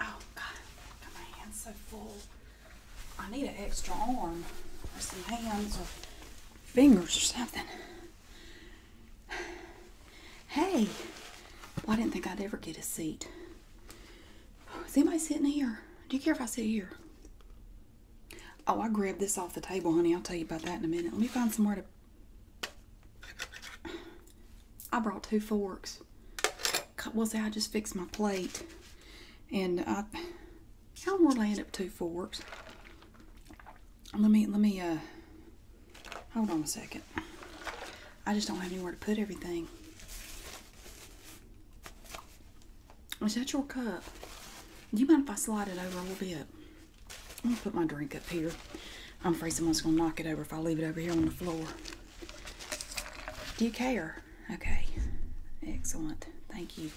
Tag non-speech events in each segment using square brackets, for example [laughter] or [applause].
Oh God, got my hands so full. I need an extra arm or some hands or fingers or something. Hey, I didn't think I'd ever get a seat. Is anybody sitting here? Do you care if I sit here? Oh, I grabbed this off the table, honey. I'll tell you about that in a minute. Let me find somewhere to I brought two forks. Well, see, I just fixed my plate. And I, I will land up two forks. Let me, let me, uh, hold on a second. I just don't have anywhere to put everything. Is that your cup? Do you mind if I slide it over a little bit? I'm put my drink up here. I'm afraid someone's gonna knock it over if I leave it over here on the floor. Do you care? Okay. Excellent. Thank you.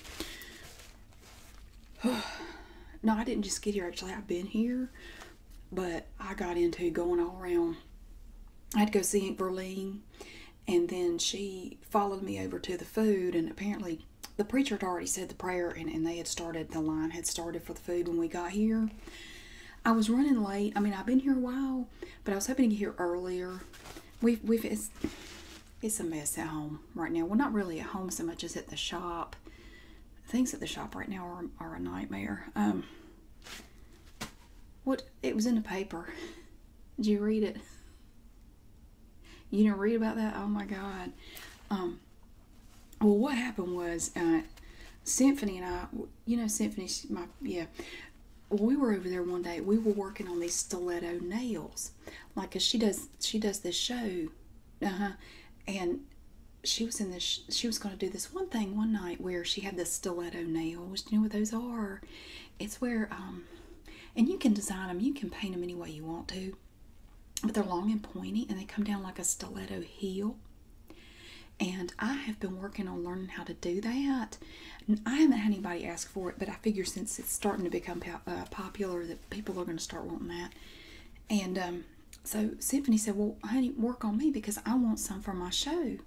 [sighs] no, I didn't just get here actually. I've been here, but I got into going all around. I had to go see Aunt Verlene, and then she followed me over to the food, and apparently the preacher had already said the prayer, and, and they had started, the line had started for the food when we got here. I was running late. I mean, I've been here a while, but I was hoping to get here earlier. We've, we've, it's, it's a mess at home right now. Well, not really at home so much as at the shop. Things at the shop right now are, are a nightmare. Um, what, it was in the paper. Did you read it? You didn't read about that? Oh my God. Um, well, what happened was, uh, Symphony and I, you know, Symphony's my, yeah. We were over there one day. We were working on these stiletto nails, like she does. She does this show, uh huh. And she was in this. She was going to do this one thing one night where she had this stiletto nails. Do you know what those are? It's where um, and you can design them. You can paint them any way you want to, but they're long and pointy, and they come down like a stiletto heel. And I have been working on learning how to do that. I haven't had anybody ask for it, but I figure since it's starting to become uh, popular that people are going to start wanting that. And um, so Symphony said, Well, honey, work on me because I want some for my show.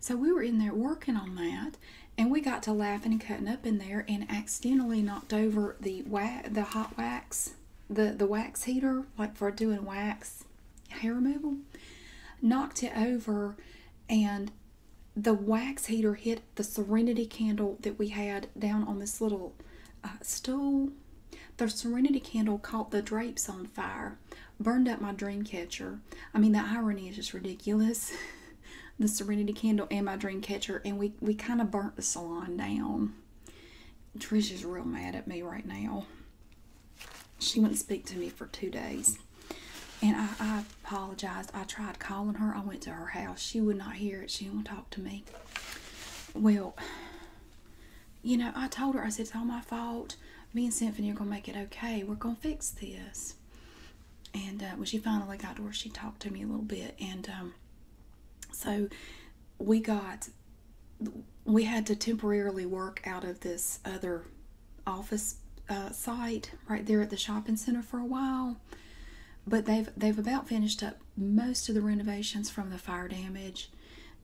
So we were in there working on that, and we got to laughing and cutting up in there, and accidentally knocked over the wax, the hot wax, the the wax heater, like for doing wax hair removal, knocked it over, and the wax heater hit the Serenity candle that we had down on this little uh, stool. The Serenity candle caught the drapes on fire, burned up my dream catcher. I mean, the irony is just ridiculous. [laughs] the Serenity candle and my dream catcher, and we, we kind of burnt the salon down. Trisha's real mad at me right now she wouldn't speak to me for two days. And I, apologized. I tried calling her. I went to her house. She would not hear it. She would not talk to me. Well, you know, I told her, I said, it's all my fault. Me and Symphony are going to make it okay. We're going to fix this. And uh, when she finally got to her, she talked to me a little bit. And um, so we got we had to temporarily work out of this other office uh, site right there at the shopping center for a while. But they've they've about finished up most of the renovations from the fire damage.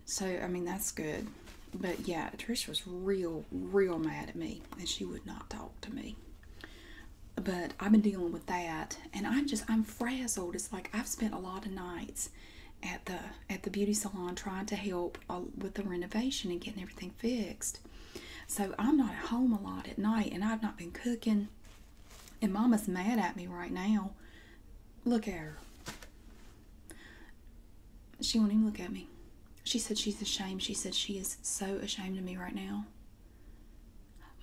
So I mean that's good. But yeah, Trish was real, real mad at me and she would not talk to me. But I've been dealing with that and I'm just I'm frazzled. It's like I've spent a lot of nights at the at the beauty salon trying to help uh, with the renovation and getting everything fixed. So I'm not at home a lot at night and I've not been cooking. And mama's mad at me right now. Look at her. She won't even look at me. She said she's ashamed. She said she is so ashamed of me right now.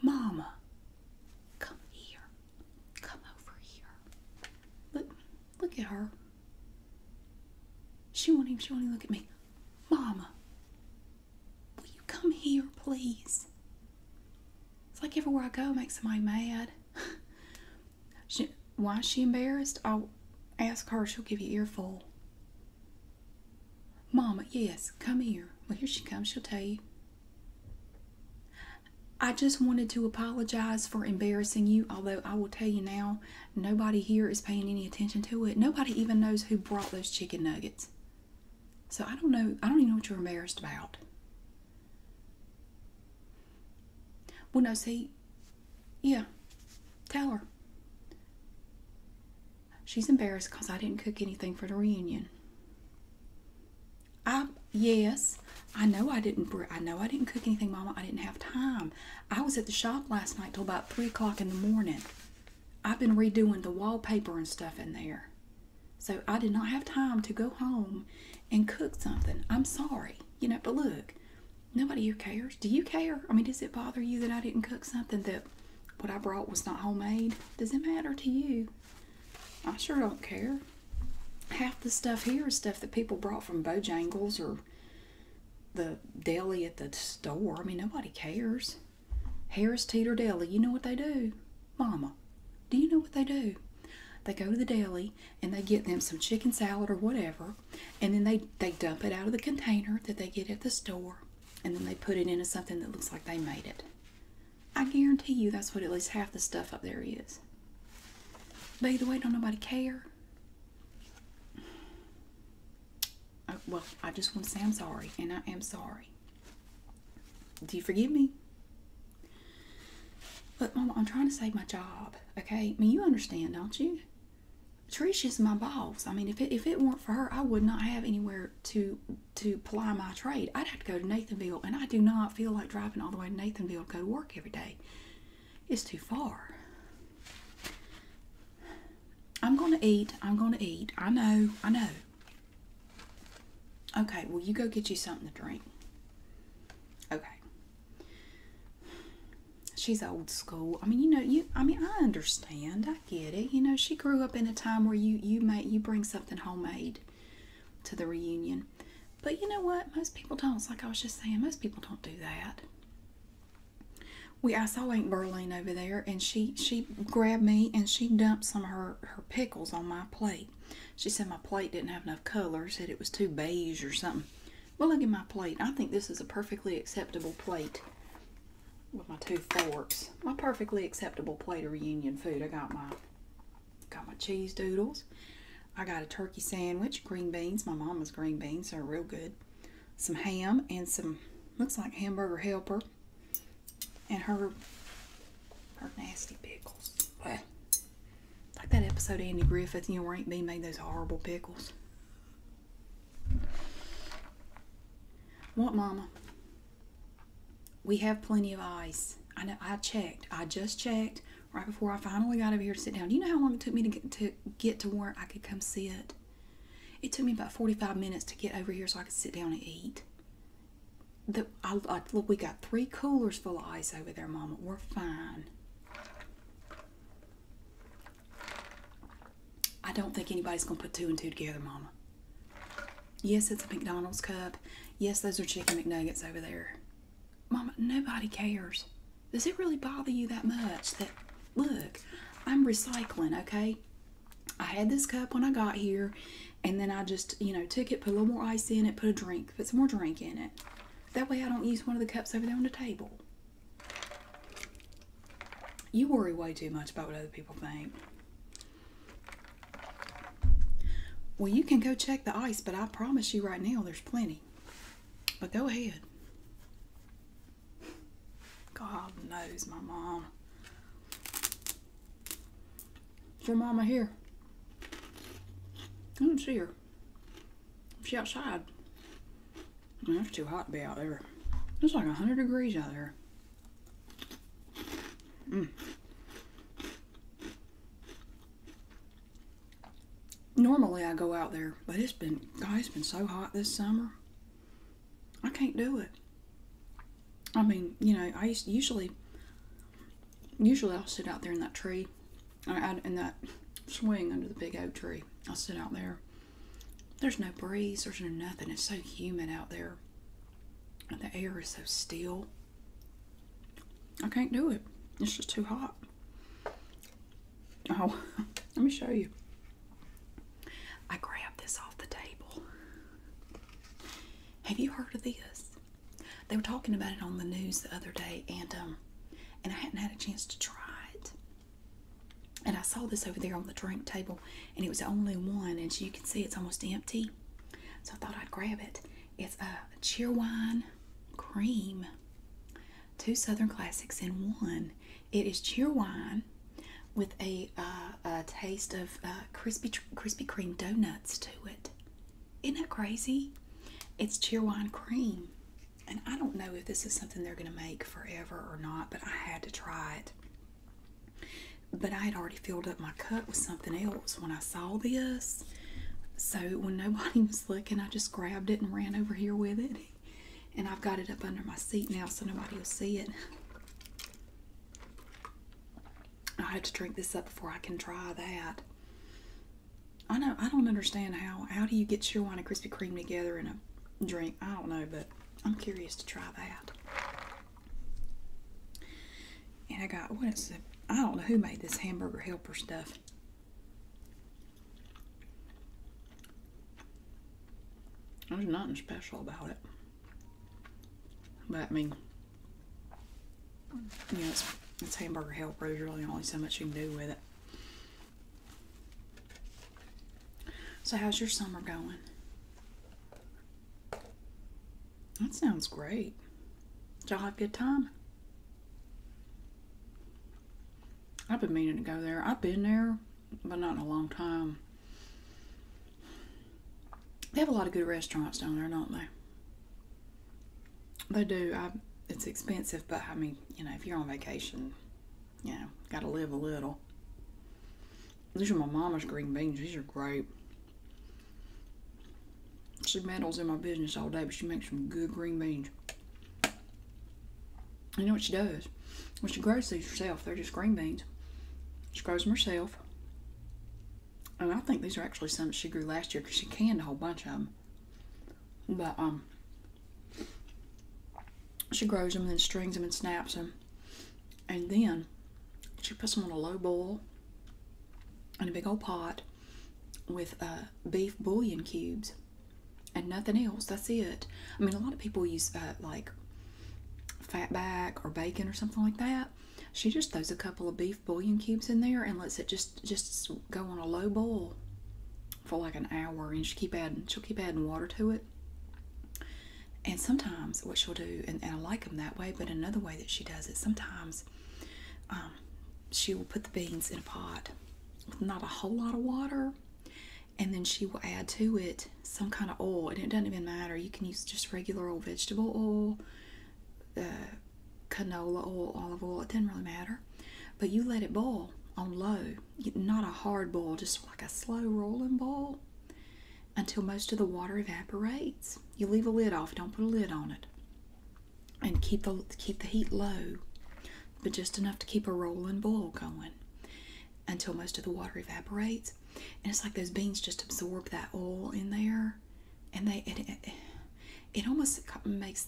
Mama, come here. Come over here. Look, look at her. She won't even, she won't even look at me. Mama, will you come here, please? It's like everywhere I go, makes somebody mad. [laughs] why is she embarrassed? I'll ask her, she'll give you earful. Mama, yes, come here. Well, here she comes, she'll tell you. I just wanted to apologize for embarrassing you, although I will tell you now, nobody here is paying any attention to it. Nobody even knows who brought those chicken nuggets. So I don't know, I don't even know what you're embarrassed about. Well, no, see, yeah, tell her. She's embarrassed because I didn't cook anything for the reunion. I, yes, i know i didn't i know i didn't cook anything mama i didn't have time i was at the shop last night till about three o'clock in the morning i've been redoing the wallpaper and stuff in there so i did not have time to go home and cook something i'm sorry you know but look nobody here cares do you care i mean does it bother you that i didn't cook something that what i brought was not homemade does it matter to you i sure don't care half the stuff here is stuff that people brought from Bojangles or the deli at the store. I mean, nobody cares. Harris Teeter Deli, you know what they do? Mama, do you know what they do? They go to the deli and they get them some chicken salad or whatever, and then they, they dump it out of the container that they get at the store, and then they put it into something that looks like they made it. I guarantee you that's what at least half the stuff up there is. By the way, don't nobody care. Uh, well, I just want to say I'm sorry, and I am sorry. Do you forgive me? But, Mama, I'm trying to save my job, okay? I mean, you understand, don't you? Trish is my boss. I mean, if it, if it weren't for her, I would not have anywhere to to ply my trade. I'd have to go to Nathanville, and I do not feel like driving all the way to Nathanville to go to work every day. It's too far. I'm gonna eat. I'm gonna eat. I know. I know. Okay, well, you go get you something to drink. Okay. She's old school. I mean, you know, you. I mean, I understand. I get it. You know, she grew up in a time where you you make you bring something homemade to the reunion but you know what? Most people don't. It's like I was just saying, most people don't do that. We I saw Aunt Berline over there and she she grabbed me and she dumped some of her, her pickles on my plate. She said my plate didn't have enough color, said it was too beige or something. Well look at my plate. I think this is a perfectly acceptable plate with my two forks. My perfectly acceptable plate of reunion food. I got my Got my cheese doodles. I got a turkey sandwich, green beans. My mama's green beans are real good. Some ham and some looks like hamburger helper. And her her nasty pickles. Like that episode of Andy Griffith, you know, where Aunt made those horrible pickles. What, Mama? We have plenty of ice. I know I checked. I just checked right before I finally got over here to sit down. Do you know how long it took me to get to get to where I could come sit? It took me about 45 minutes to get over here so I could sit down and eat. The, I, look, we got three coolers full of ice over there, Mama. We're fine. I don't think anybody's going to put two and two together, Mama. Yes, it's a McDonald's cup. Yes, those are chicken McNuggets over there. Mama, nobody cares. Does it really bother you that much that, look, I'm recycling, okay? I had this cup when I got here, and then I just, you know, took it, put a little more ice in it, put a drink, put some more drink in it. That way I don't use one of the cups over there on the table. You worry way too much about what other people think. Well, you can go check the ice, but I promise you right now there's plenty. But go ahead. God knows my mom. Is your mama here? I don't see her. She outside. That's too hot to be out there. It's like 100 degrees out there. Mm. Normally I go out there, but it's been, God, been so hot this summer. I can't do it. I mean, you know, I usually, usually I'll sit out there in that tree, and in that swing under the big oak tree. I'll sit out there. There's no breeze. There's no nothing. It's so humid out there. The air is so still. I can't do it. It's just too hot. Oh, [laughs] let me show you. I grabbed this off the table. Have you heard of this? They were talking about it on the news the other day, and um, and I hadn't had a chance to try it. And I saw this over there on the drink table, and it was only one, and so you can see it's almost empty. So I thought I'd grab it. It's a Cheerwine cream. Two Southern Classics in one. It is Cheerwine with uh, a, taste of uh, crispy Krispy Kreme donuts to it. Isn't that crazy? It's Cheerwine cream. And I don't know if this is something they're going to make forever or not, but I had to try it. But I had already filled up my cup with something else when I saw this. So when nobody [laughs] was looking, I just grabbed it and ran over here with it. And I've got it up under my seat now so nobody will see it. I have to drink this up before I can try that. I know I don't understand how how do you get your wine and Krispy Kreme together in a drink? I don't know, but I'm curious to try that. And I got what is it? I don't know who made this hamburger helper stuff. There's nothing special about it. But I mean, you know, it's, it's hamburger helper. There's really only so much you can do with it. So, how's your summer going? That sounds great. y'all have a good time? I've been meaning to go there. I've been there, but not in a long time. They have a lot of good restaurants down there, don't they? They do. it's expensive, but I mean, you know, if you're on vacation, you know, got to live a little. These are my mama's green beans. These are great. She meddles in my business all day, but she makes some good green beans. You know what she does? When she grows these herself, they're just green beans. She grows them herself. And I think these are actually some she grew last year because she canned a whole bunch of them. But, um, she grows them and then strings them and snaps them. And then she puts them on a low boil in a big old pot with uh, beef bouillon cubes and nothing else. That's it. I mean, a lot of people use uh, like fatback or bacon or something like that. She just throws a couple of beef bouillon cubes in there and lets it just just go on a low boil for like an hour, and she keep adding she'll keep adding water to it. And sometimes what she'll do, and, I like them that way, but another way that she does it, sometimes um, she will put the beans in a pot with not a whole lot of water and then she will add to it some kind of oil and it doesn't even matter you can use just regular old vegetable oil uh, canola oil olive oil it doesn't really matter but you let it boil on low not a hard boil just like a slow rolling boil until most of the water evaporates you leave a lid off don't put a lid on it and keep the keep the heat low, but just enough to keep a rolling boil going until most of the water evaporates. And it's like those beans just absorb that oil in there, and they it it, it almost makes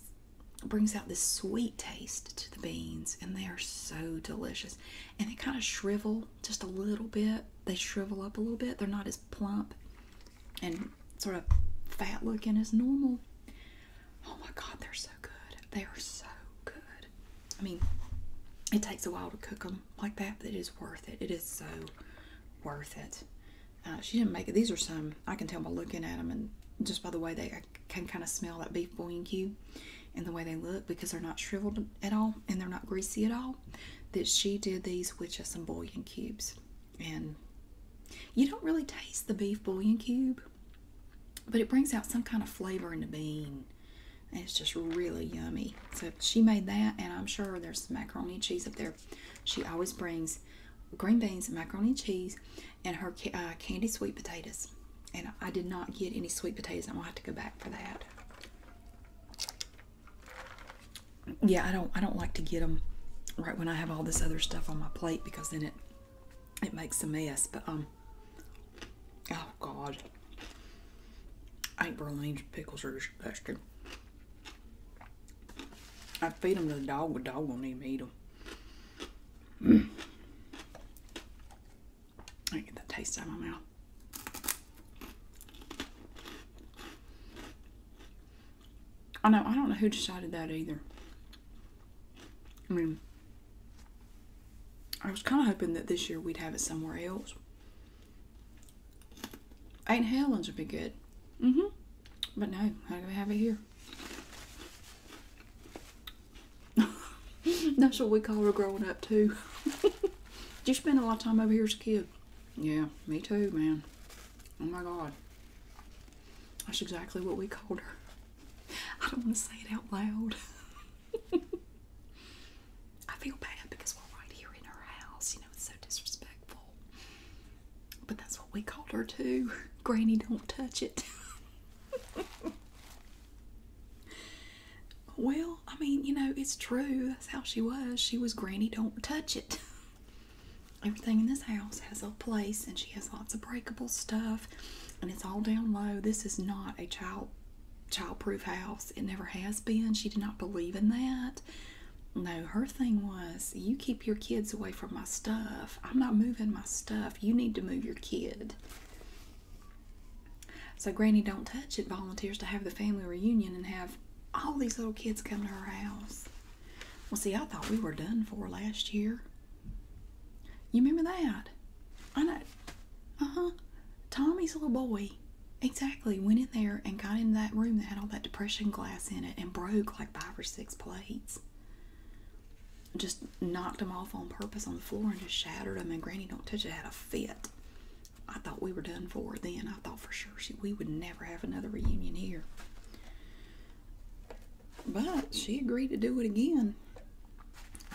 brings out this sweet taste to the beans, and they are so delicious. And they kind of shrivel just a little bit. They shrivel up a little bit. They're not as plump and sort of fat looking as normal. Oh my god, they're so good. They are so good. I mean, it takes a while to cook them like that, but it is worth it. It is so worth it. Uh, she didn't make it. These are some, I can tell by looking at them and just by the way they can kind of smell that beef bouillon cube, and the way they look because they're not shriveled at all and they're not greasy at all. That she did these with just some bouillon cubes. And you don't really taste the beef bouillon cube, but it brings out some kind of flavor in the bean. And it's just really yummy. So she made that, and I'm sure there's macaroni and cheese up there. She always brings green beans, macaroni and cheese, and her uh, candy sweet potatoes. And I did not get any sweet potatoes. I'm going to have to go back for that yeah, I don't I don't like to get them right when I have all this other stuff on my plate because then it it makes a mess. But um, oh God, I think Berline's pickles are disgusting. I feed them to the dog, but the dog won't even eat them. I get the taste out of my mouth. I know, I don't know who decided that either. I mean, I was kind of hoping that this year we'd have it somewhere else. Ain't Helen's would be good. Mm hmm. But no, I have it here. [laughs] That's what we call her growing up, too. [laughs] Did you spend a lot of time over here as a kid? Yeah, me too, man. Oh my god. That's exactly what we called her. I don't want to say it out loud. [laughs] I feel bad because we're right here in her house. You know, it's so disrespectful. But that's what we called her too. Granny, don't touch it. [laughs] well, I mean, you know, it's true. That's how she was. She was Granny, don't touch it. [laughs] Everything in this house has a place, and she has lots of breakable stuff, and it's all down low. This is not a child childproof house. It never has been. She did not believe in that. No, her thing was, you keep your kids away from my stuff. I'm not moving my stuff. You need to move your kid. So Granny Don't Touch It volunteers to have the family reunion and have all these little kids come to her house. Well, see, I thought we were done for last year. You remember that? I know. Uh huh. Tommy's little boy exactly went in there and got into that room that had all that depression glass in it and broke like five or six plates. Just knocked them off on purpose on the floor and just shattered them. And Granny Don't Touch It had a fit. I thought we were done for then. I thought for sure she, we would never have another reunion here. But she agreed to do it again.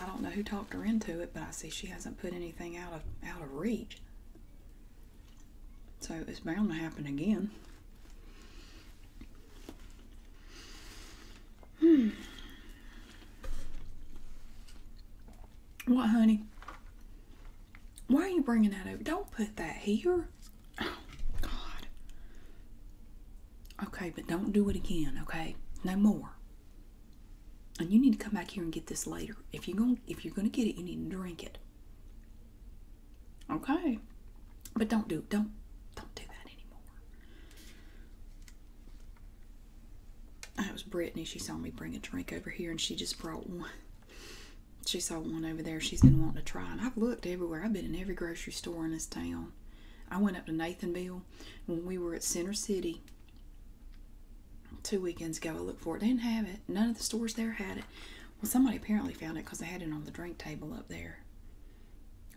I don't know who talked her into it, but I see she hasn't put anything out of out of reach. So it's bound to happen again. Hmm. What, honey? Why are you bringing that over? Don't put that here. Oh, God. Okay, but don't do it again, okay? No more. And you need to come back here and get this later. If you're going to if you're gonna get it, you need to drink it. Okay. But don't do don't don't do that anymore. That was Brittany. She saw me bring a drink over here and she just brought one. She saw one over there she's been wanting to try. And I've looked everywhere. I've been in every grocery store in this town. I went up to Nathanville when we were at Center City two weekends ago. I looked for it. didn't have it. None of the stores there had it. Well, somebody apparently found it because they had it on the drink table up there.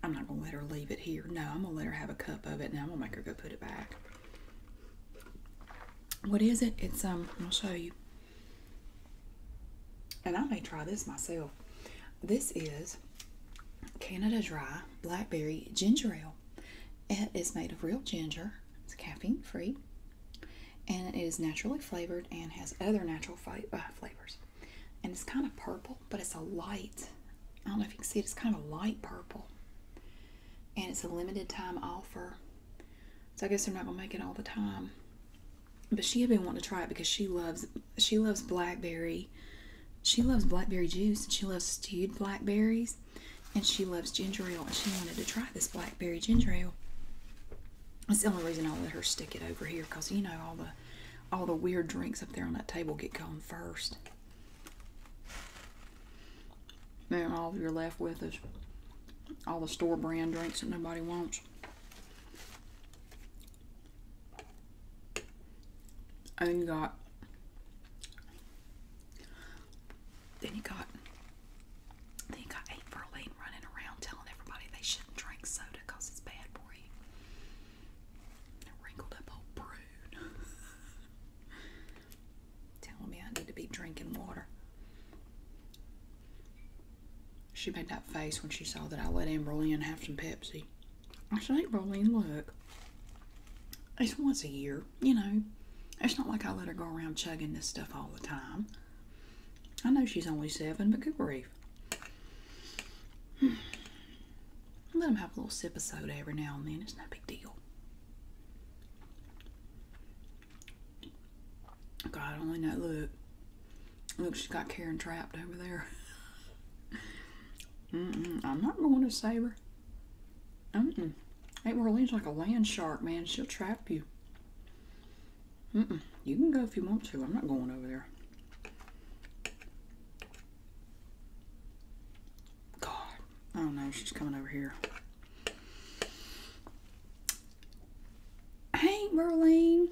I'm not going to let her leave it here. No, I'm going to let her have a cup of it, Now I'm going to make her go put it back. What is it? It's, um, I'll show you. And I may try this myself. This is Canada Dry Blackberry Ginger Ale. It is made of real ginger. It's caffeine free. And it is naturally flavored and has other natural uh, flavors. And it's kind of purple, but it's a light. I don't know if you can see it. It's kind of light purple. And it's a limited time offer. So I guess they're not going to make it all the time but she had been wanting to try it because she loves she loves blackberry she loves blackberry juice and she loves stewed blackberries and she loves ginger ale and she wanted to try this blackberry ginger ale that's the only reason i let her stick it over here because you know all the all the weird drinks up there on that table get gone first then all you're left with is all the store brand drinks that nobody wants and got then you got then you got eight Berlin running around telling everybody they shouldn't drink soda because it's bad for you. wrinkled up old brood [laughs] telling me I need to be drinking water. She made that face when she saw that I let Amberlynn have some Pepsi. I said, Amberlynn, look, it's once a year, you know. It's not like I let her go around chugging this stuff all the time. I know she's only seven, but good grief. [sighs] Let them have a little sip of soda every now and then. It's no big deal. God only know. Look, look, she got Karen trapped over there. [laughs] mm I'm not going to save her. Mm-mm. Aunt Marlene's like a land shark, man. She'll trap you. mm You can go if you want to. I'm not going over there. God. I don't know. She's coming over here. Hey, Berlin.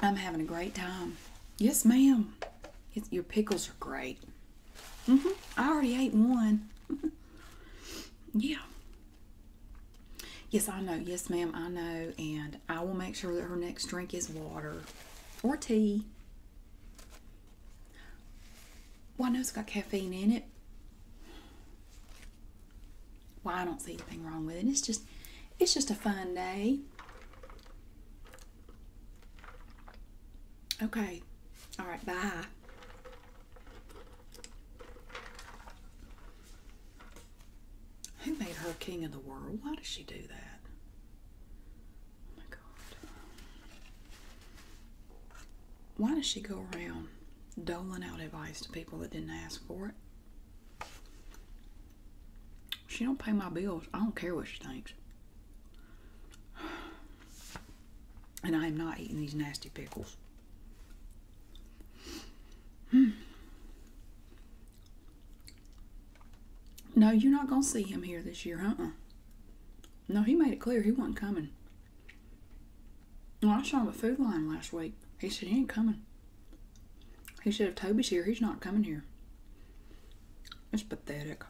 I'm having a great time. Yes, ma'am. Your pickles are great. Mm-hmm. I already ate one. [laughs] yeah. Yes, I know. Yes, ma'am, I know. And I will make sure that her next drink is water or tea. Well, I it's got caffeine in it. Why I don't see anything wrong with it. It's just it's just a fun day. Okay. All right, bye. Who made her king of the world? Why does she do that? Oh my god why does she go around doling out advice to people that didn't ask for it? She don't pay my bills. I don't care what she thinks. And I am not eating these nasty pickles. Hmm. No, you're not going to see him here this year, huh? No, he made it clear he wasn't coming. Well, I saw him at Food Line last week. He said he ain't coming. He said if Toby's here, he's not coming here. It's pathetic.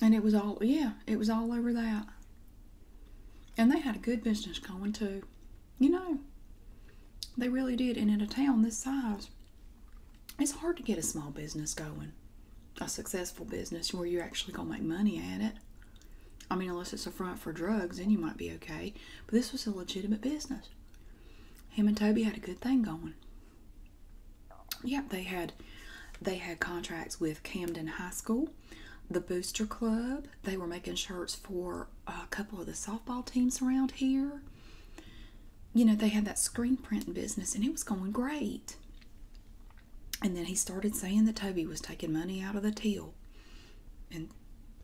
And it was all, yeah, it was all over that. And they had a good business going too. You know, they really did. And in a town this size, it's hard to get a small business going a successful business where you're actually going to make money at it. I mean, unless it's a front for drugs, then you might be okay. But this was a legitimate business. Him and Toby had a good thing going. Yep, they had they had contracts with Camden High School, the Booster Club. They were making shirts for a couple of the softball teams around here. You know, they had that screen print business, and it was going great. And then he started saying that Toby was taking money out of the till and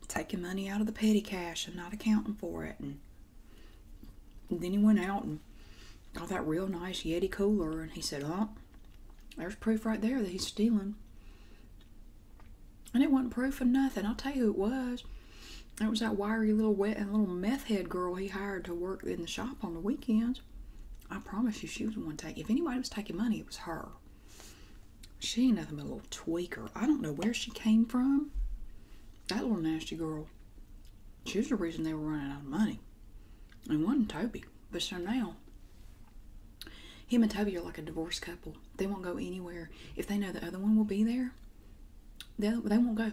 taking money out of the petty cash and not accounting for it. And then he went out and got that real nice Yeti cooler and he said, Oh, there's proof right there that he's stealing. And it wasn't proof of nothing. I'll tell you who it was. It was that wiry little wet and little meth head girl he hired to work in the shop on the weekends. I promise you, she was the one taking. If anybody was taking money, it was her. She ain't nothing but a little tweaker. I don't know where she came from. That little nasty girl. She's the reason they were running out of money. And wasn't Toby. But so now, him and Toby are like a divorced couple. They won't go anywhere. If they know the other one will be there, they, they won't go.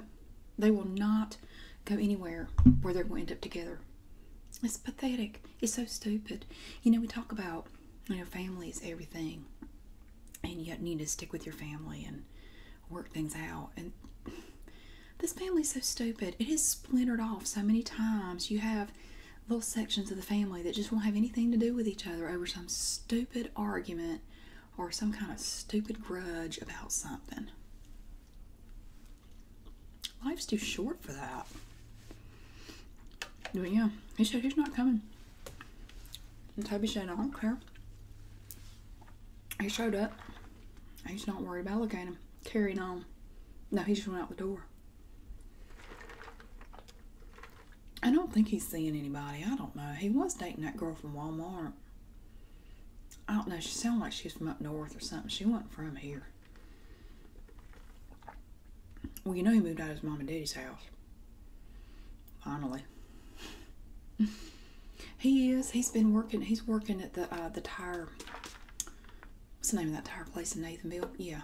They will not go anywhere where they're going to end up together. It's pathetic. It's so stupid. You know, we talk about, you know, family is everything. And you need to stick with your family and work things out. And this family's so stupid. It has splintered off so many times. You have little sections of the family that just won't have anything to do with each other over some stupid argument or some kind of stupid grudge about something. Life's too short for that. But yeah, he said he's not coming. And Toby said, I don't care. He showed up. He's not worried about looking him. Carrying on. No, he just went out the door. I don't think he's seeing anybody. I don't know. He was dating that girl from Walmart. I don't know. She sounded like she was from up north or something. She wasn't from here. Well, you know he moved out of his mom and daddy's house. Finally. [laughs] he is. He's been working. He's working at the uh, the tire. What's the name of that tire place in Nathanville? Yeah,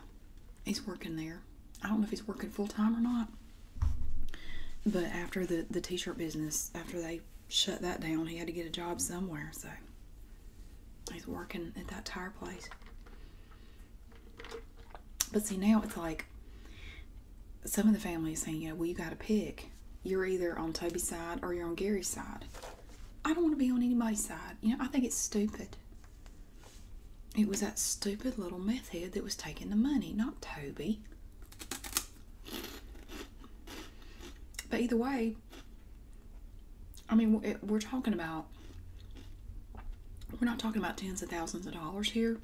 he's working there. I don't know if he's working full time or not. But after the the t-shirt business, after they shut that down, he had to get a job somewhere. So He's working at that tire place. But see, now it's like some of the family is saying, you know, well, you got to pick. You're either on Toby's side or you're on Gary's side. I don't want to be on anybody's side. You know, I think it's stupid. It was that stupid little meth head that was taking the money, not Toby. But either way, i mean we're talking about we're not talking about tens of thousands of dollars here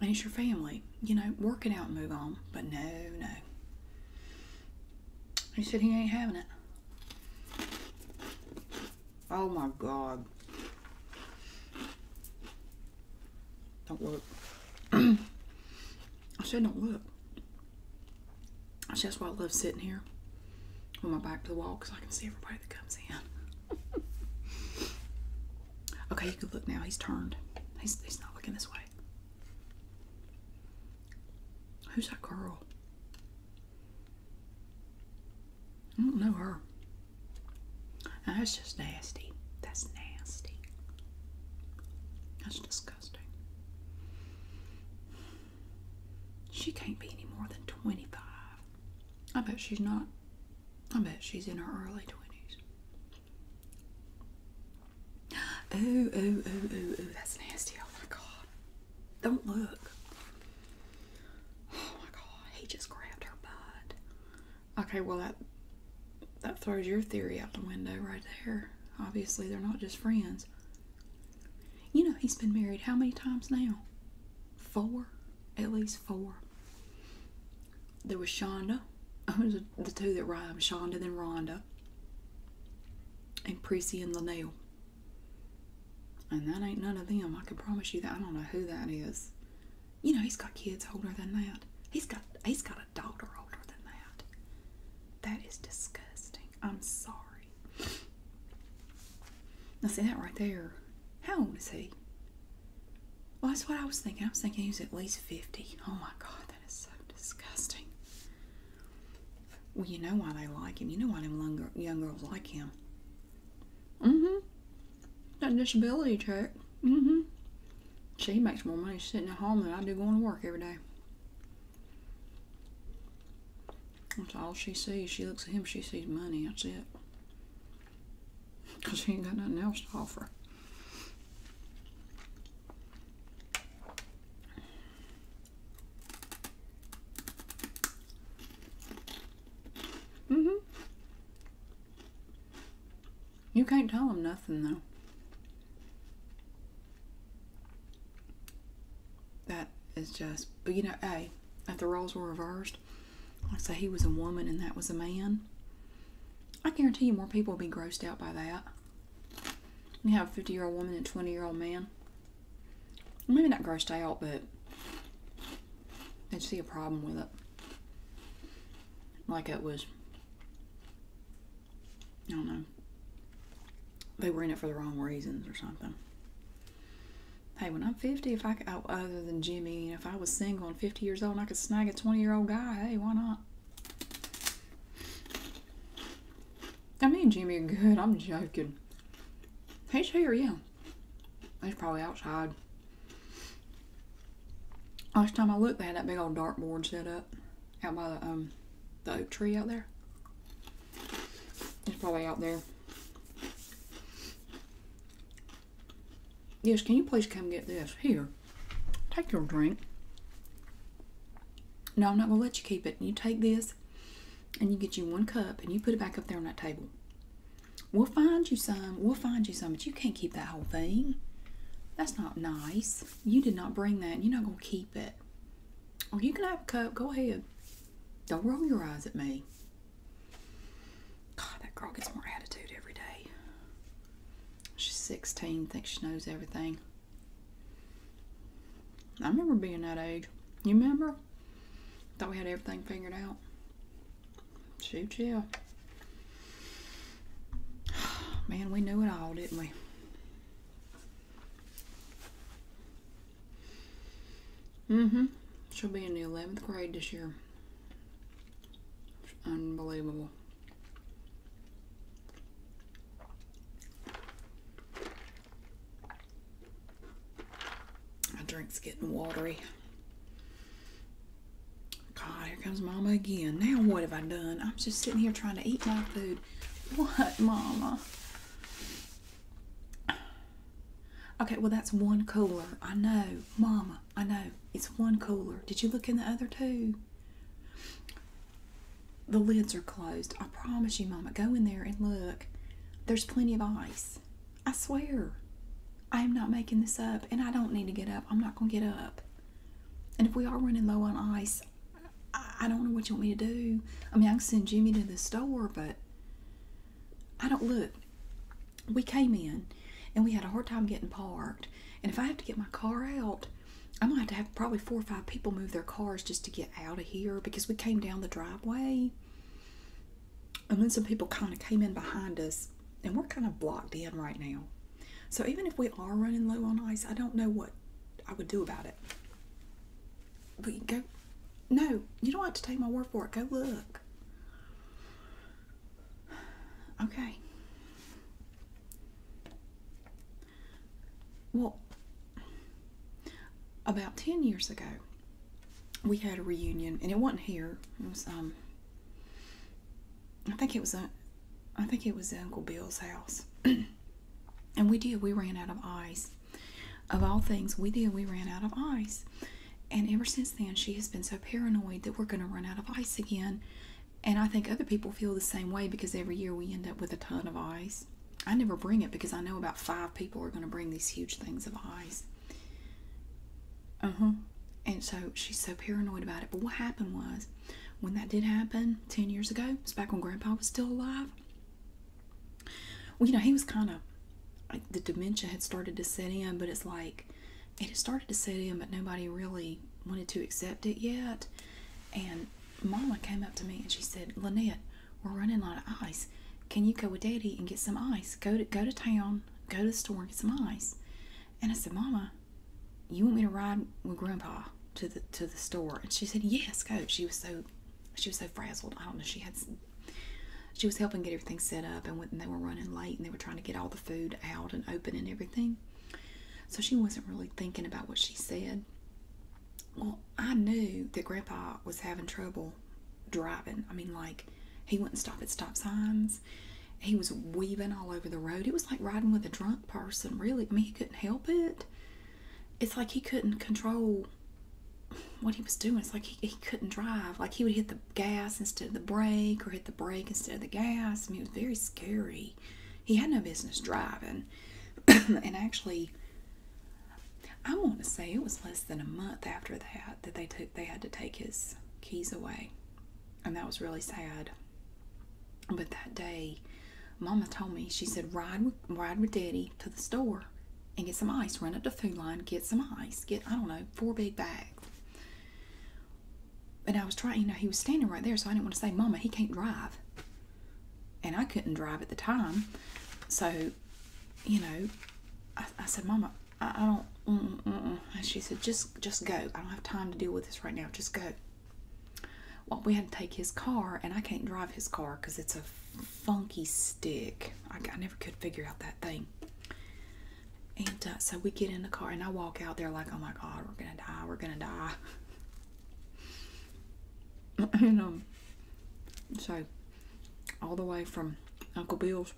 and it's your family you know Working out and move on but no no he said he ain't having it oh my god don't work. [clears throat] i said don't work. That's just why I love sitting here with my back to the wall because I can see everybody that comes in. okay, you can look now. He's turned. He's, he's not looking this way. Who's that girl? I don't know her. that's just nasty. That's nasty. That's disgusting. She can't be any more than 25. I bet she's not. I bet she's in her early 20s. Ooh, ooh, ooh, ooh, ooh. That's nasty. Oh my god. Don't look. Oh my god. He just grabbed her butt. Okay, well, that. That throws your theory out the window right there. Obviously, they're not just friends. You know, he's been married how many times now? Four? At least four. There was Shonda. [laughs] the two that rhyme Shonda, then Rhonda. And Prissy and Leneal. And that ain't none of them. I can promise you that. I don't know who that is. You know, he's got kids older than that. He's got he's got a daughter older than that. That is disgusting. I'm sorry. Now, see that right there. How old is he? Well, that's what I was thinking. I was thinking he was at least 50. Oh my God, that is so disgusting. Well, you know why they like him. You know why them young girls like him. Mm-hmm. That disability check. Mm-hmm. She makes more money sitting at home than I do going to work every day. That's all she sees. She looks at him, she sees money. That's it. Because she ain't got nothing else to offer. hmm You can't tell him nothing, though. That is just, but you know, hey, if the roles were reversed, like say he was a woman and that was a man, I guarantee you more people would be grossed out by that. You have a 50 year old woman and 20 year old man. Maybe not grossed out, but they'd see a problem with it. Like it was I don't know. They were in it for the wrong reasons or something. Hey, when I'm 50, if I could, oh, other than Jimmy, if I was single and 50 years old and I could snag a 20 year old guy, hey, why not? I mean, Jimmy, good. I'm joking. He's here, yeah. He's probably outside. Last time I looked, they had that big old dart board set up out by the, um, the oak tree out there. It's probably out there. Yes, can you please come get this? Here, take your drink. No, I'm not going to let you keep it. You take this and you get you one cup and you put it back up there on that table. We'll find you some. We'll find you some, but you can't keep that whole thing. That's not nice. You did not bring that and you're not going to keep it. Oh, you can have a cup. Go ahead. Don't roll your eyes at me. God, that girl gets more attitude every day. She's 16, thinks she knows everything. I remember being that age. You remember? Thought we had everything figured out. Shoot, yeah. [sighs] Man, we knew it all, didn't we? Mm-hmm. She'll be in the 11th grade this year. unbelievable. My drink's getting watery. God, here comes Mama again. Now what have I done? I'm just sitting here trying to eat my food. What, Mama? Okay, well, that's one cooler. I know, Mama, I know. It's one cooler. Did you look in the other two? The lids are closed. I promise you, Mama. Go in there and look. There's plenty of ice. I swear. I am not making this up, and I don't need to get up. I'm not going to get up. And if we are running low on ice, I, I don't know what you want me to do. I mean, I can send Jimmy to the store, but I don't look. We came in and we had a hard time getting parked. And if I have to get my car out, I'm gonna have to have probably four or five people move their cars just to get out of here because we came down the driveway. And then some people kind of came in behind us, and we're kind of blocked in right now. So even if we are running low on ice, I don't know what I would do about it. But you go, no, you don't have to take my word for it. Go look. Okay. Well, about 10 years ago, we had a reunion, and it wasn't here. It was, um, I think it was, a, uh, I think it was Uncle Bill's house. [clears throat] And we did, we ran out of ice. Of all things, we did, we ran out of ice. And ever since then, she has been so paranoid that we're going to run out of ice again. And I think other people feel the same way because every year we end up with a ton of ice. I never bring it because I know about five people are going to bring these huge things of ice. Uh huh. And so she's so paranoid about it. But what happened was, when that did happen 10 years ago, it was back when Grandpa was still alive, well, you know, he was kind of the dementia had started to set in, but it's like it had started to set in, but nobody really wanted to accept it yet. And Mama came up to me and she said, Lynette, we're running out of ice. Can you go with Daddy and get some ice? Go to go to town, go to the store get some ice. And I said, Mama, you want me to ride with Grandpa? to the to the store?" And she said, "Yes, go." She was so she was so frazzled. I don't know. She had she was helping get everything set up, and they were running late, and they were trying to get all the food out and open and everything. So she wasn't really thinking about what she said. Well, I knew that Grandpa was having trouble driving. I mean, like he wouldn't stop at stop signs. He was weaving all over the road. It was like riding with a drunk person, really. I mean, he couldn't help it it's like he couldn't control what he was doing. It's like he, couldn't drive. Like he would hit the gas instead of the brake or hit the brake instead of the gas. I mean, it was very scary. He had no business driving. [clears throat] and actually, I want to say it was less than a month after that that they took they had to take his keys away. And that was really sad. But that day, Mama told me, she said, ride with, ride with Daddy to the store and get some ice. Run up to Food Line, get some ice. Get, I don't know, four big bags. And I was trying, you know, he was standing right there, so I didn't want to say, Mama, he can't drive. And I couldn't drive at the time. So, you know, I, said, Mama, I, don't, mm, mm, mm. And she said, just, just go. I don't have time to deal with this right now. Just go. Well, we had to take his car, and I can't drive his car because it's a funky stick. I, never could figure out that thing. And uh, so we get in the car, and I walk out there like, oh my God, we're going to die, we're going to die. [laughs] and um, so all the way from Uncle Bill's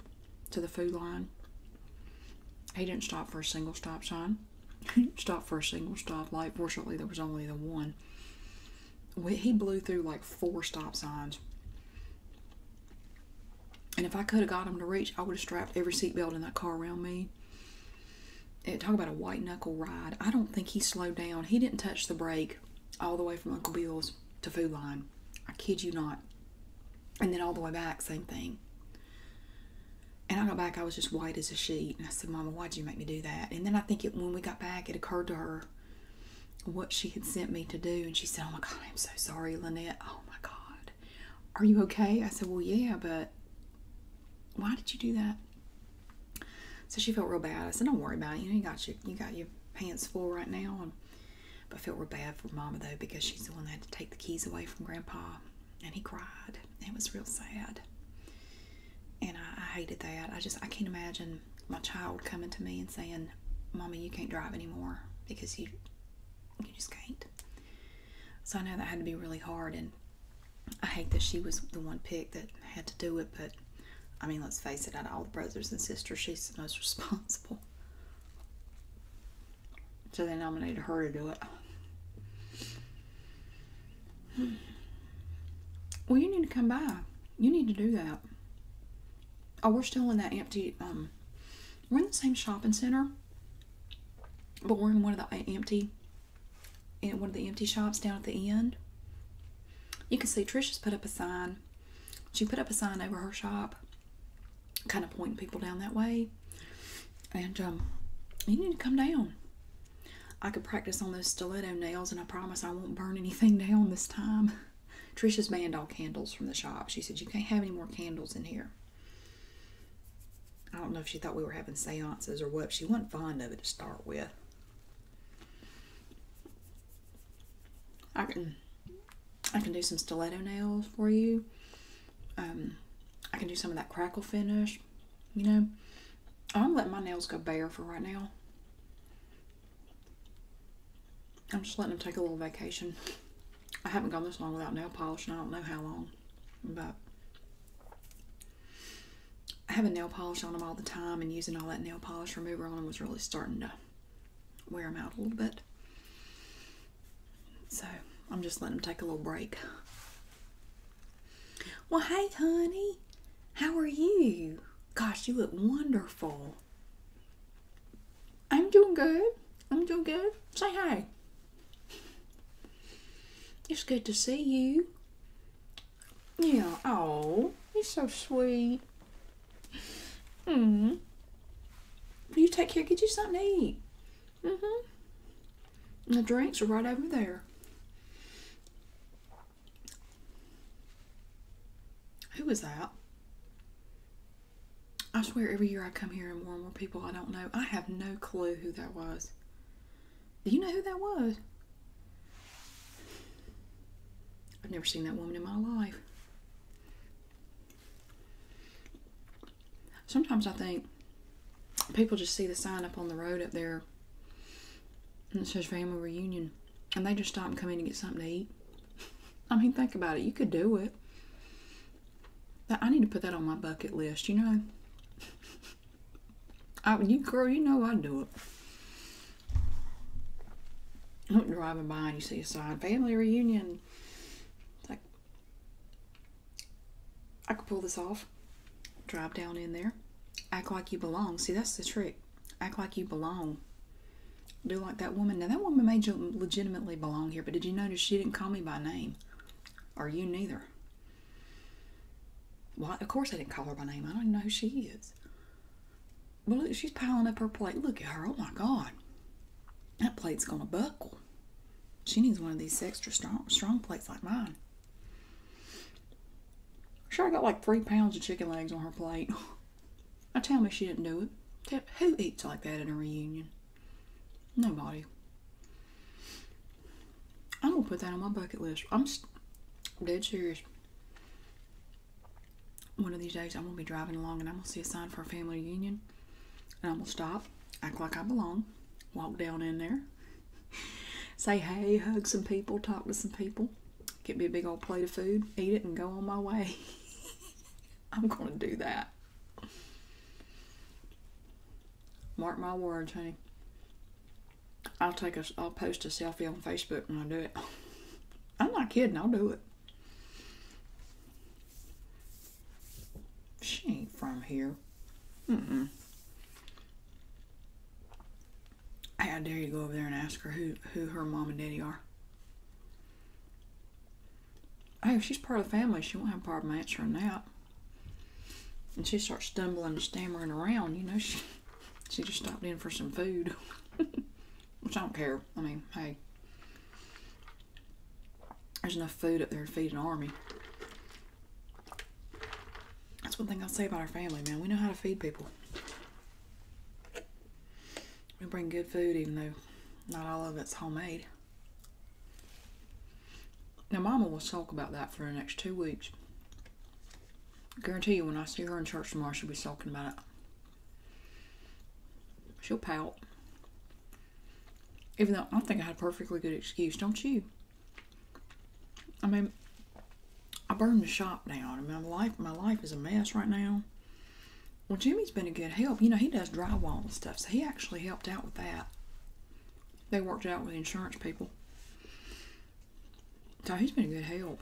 to the food line, he didn't stop for a single stop sign stop for a single stoplight. Fortunately, there was only the one. he blew through like four stop signs. And if I could have got him to reach, I would have strapped every seatbelt in that car around me. talk about a white knuckle ride. I don't think he slowed down. He didn't touch the brake all the way from Uncle Bill's to Food Line. I kid you not. And then all the way back, same thing. And I got back, I was just white as a sheet said, Mama, why'd you make me do that? And then I think it, when we got back, it occurred to her what she had sent me to do. And she said, Oh my God, I'm so sorry, Lynette. Oh my God. Are you okay? I said, Well, yeah, but why did you do that? So she felt real bad. I said, Don't worry about it. You know, you got your, you got your hands full right now. but I felt real bad for Mama, though, because she's the one that had to take the keys away from Grandpa. And he cried. It was real sad and I, hated that. I just I can't imagine my child coming to me and saying, "Mommy, you can't drive anymore because you you just can't." So I know that had to be really hard, and I hate that she was the one picked that had to do it. But I mean, let's face it, out of all the brothers and sisters, she's the most [laughs] responsible. So they nominated her to do it. [sighs] Well, you need to come by. You need to do that. Oh, we're still in that empty, um, we're in the same shopping center, but we're in one of the uh, empty, in one of the empty shops down at the end. You can see Trisha's put up a sign. She put up a sign over her shop, kind of pointing people down that way. And, um, you need to come down. I could practice on those stiletto nails, and I promise I won't burn anything [laughs] down this time. Trisha's banned all candles from the shop. She said, You can't have any more candles in here. I don't know if she thought we were having seances or what. She wasn't fond of it to start with. I can I can do some stiletto nails for you. Um, I can do some of that crackle finish, you know. I'm letting my nails go bare for right now. I'm just letting them take a little vacation. I haven't gone this long without nail polish, and I don't know how long, but I have a nail polish on them all the time and using all that nail polish remover on them was really starting to wear them out a little bit. So I'm just letting them take a little break. Well, hey, honey, how are you? Gosh, you look wonderful. I'm doing good. I'm doing good. Say hi. It's good to see you. Yeah, oh, you're so sweet. Mm. You take care, get you something to eat. Mm-hmm the drinks are right over there. Who was that? I swear every year I come here and more and more people I don't know. I have no clue who that was. Do you know who that was? I've never seen that woman in my life. Sometimes I think people just see the sign up on the road up there and it says family reunion. And they just stop coming to get something to eat. [laughs] I mean, think about it. You could do it. I need to put that on my bucket list, you know? [laughs] I, you girl, you know I'd do it. I'm driving by and you see a sign, family reunion. It's like, I could pull this off drop down in there, act like you belong. See, that's the trick. Act like you belong. Do like that woman. Now, that woman made you legitimately belong here, but did you notice she didn't call me by name? Or you neither? Why? of course I didn't call her by name. I don't know who she is. Well, look, she's piling up her plate. Look at her. Oh my God. That plate's going to buckle. She needs one of these extra strong, strong plates like mine. Sure, I got like three pounds of chicken legs on her plate. [laughs] I tell me she didn't do it. Who eats like that in a reunion? Nobody. I'm gonna put that on my bucket list. I'm dead serious. One of these days, I'm gonna be driving along and I'm gonna see a sign for a family reunion, and I'm gonna stop, act like I belong, walk down in there, [laughs] Say hey, hug some people, talk to some people, get me a big old plate of food, eat it, and go on my way. [laughs] I'm going to do that. Mark my words, honey. I'll take a, I'll post a selfie on Facebook when I do it. [laughs] I'm not kidding. I'll do it. She ain't from here mm How dare you go over there and ask her who, who her mom and daddy are? Hey, if she's part of the family, she won't have a problem answering that. And she starts stumbling and stammering around, you know, she she just stopped in for some food. [laughs] Which I don't care. I mean, hey. There's enough food up there to feed an army. That's one thing I'll say about our family, man. We know how to feed people. We bring good food, even though not all of it's homemade. Now, Mama will talk about that for the next two weeks. I guarantee you, when I see her in church tomorrow, she'll be talking about it. She'll pout. Even though I think I had a perfectly good excuse, don't you? I mean, I burned the shop down. I mean, my life, my life is a mess right now. Well, Jimmy's been a good help. You know, he does drywall and stuff, so he actually helped out with that. They worked out with insurance people. So he's been a good help.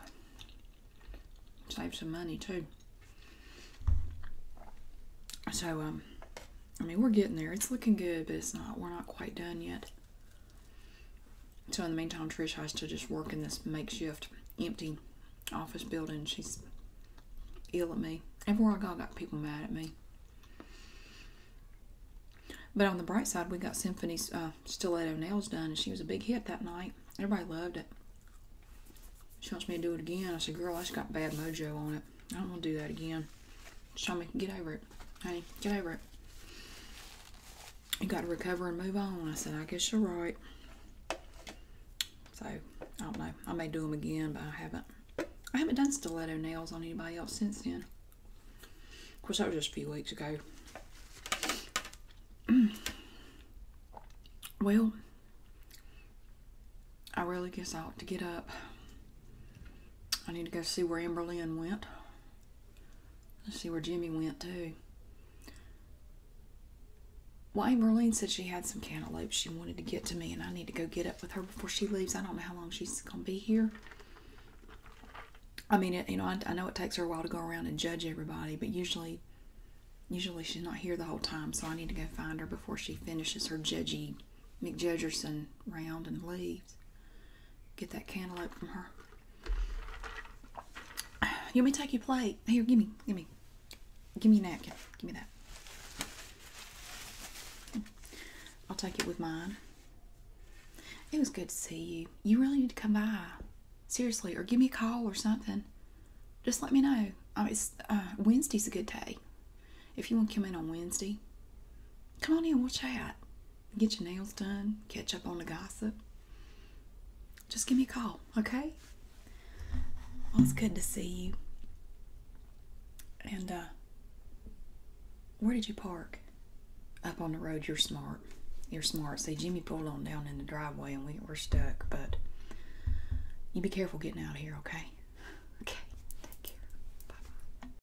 Saved some money, too. So, um, I mean, we're getting there. It's looking good, but it's not. We're not quite done yet. So in the meantime, Trish has to just work in this makeshift, empty office building. She's ill at me. Everywhere I go, I got people mad at me. But on the bright side, we got Symphony's uh, stiletto nails done, and she was a big hit that night. Everybody loved it. She wants me to do it again. I said, girl, I just got bad mojo on it. I am not want to do that again. She told me, get over it it. Honey, get over it. You got to recover and move on. I said, I guess you're right. So, I don't know. I may do them again, but I haven't. I haven't done stiletto nails on anybody else since then. Of course, that was just a few weeks ago. [clears throat] well, I really guess I ought to get up. I need to go see where Amberlynn went. Let's see where Jimmy went too. Well, Amberlynn said she had some cantaloupes she wanted to get to me, and I need to go get up with her before she leaves. I don't know how long she's going to be here. I mean, you know, I, I know it takes her a while to go around and judge everybody, but usually, usually she's not here the whole time, so I need to go find her before she finishes her judgy McJudgerson round and leaves. Get that cantaloupe from her. [sighs] You me take your plate. Here, give me, give me, give me a napkin. Give me that. I'll take it with mine. It was good to see you. You really need to come by. Seriously, or give me a call or something. Just let me know. I uh, Wednesday's a good day. If you want to come in on Wednesday, come on in, Watch out get your nails done, catch up on the gossip, just give me a call, okay? Well, it's good to see you. And uh, where did you park? Up on the road. You're smart. You're smart. See, Jimmy pulled on down in the driveway, and we were stuck. But you be careful getting out of here, okay? [laughs] Okay. Take care. bye.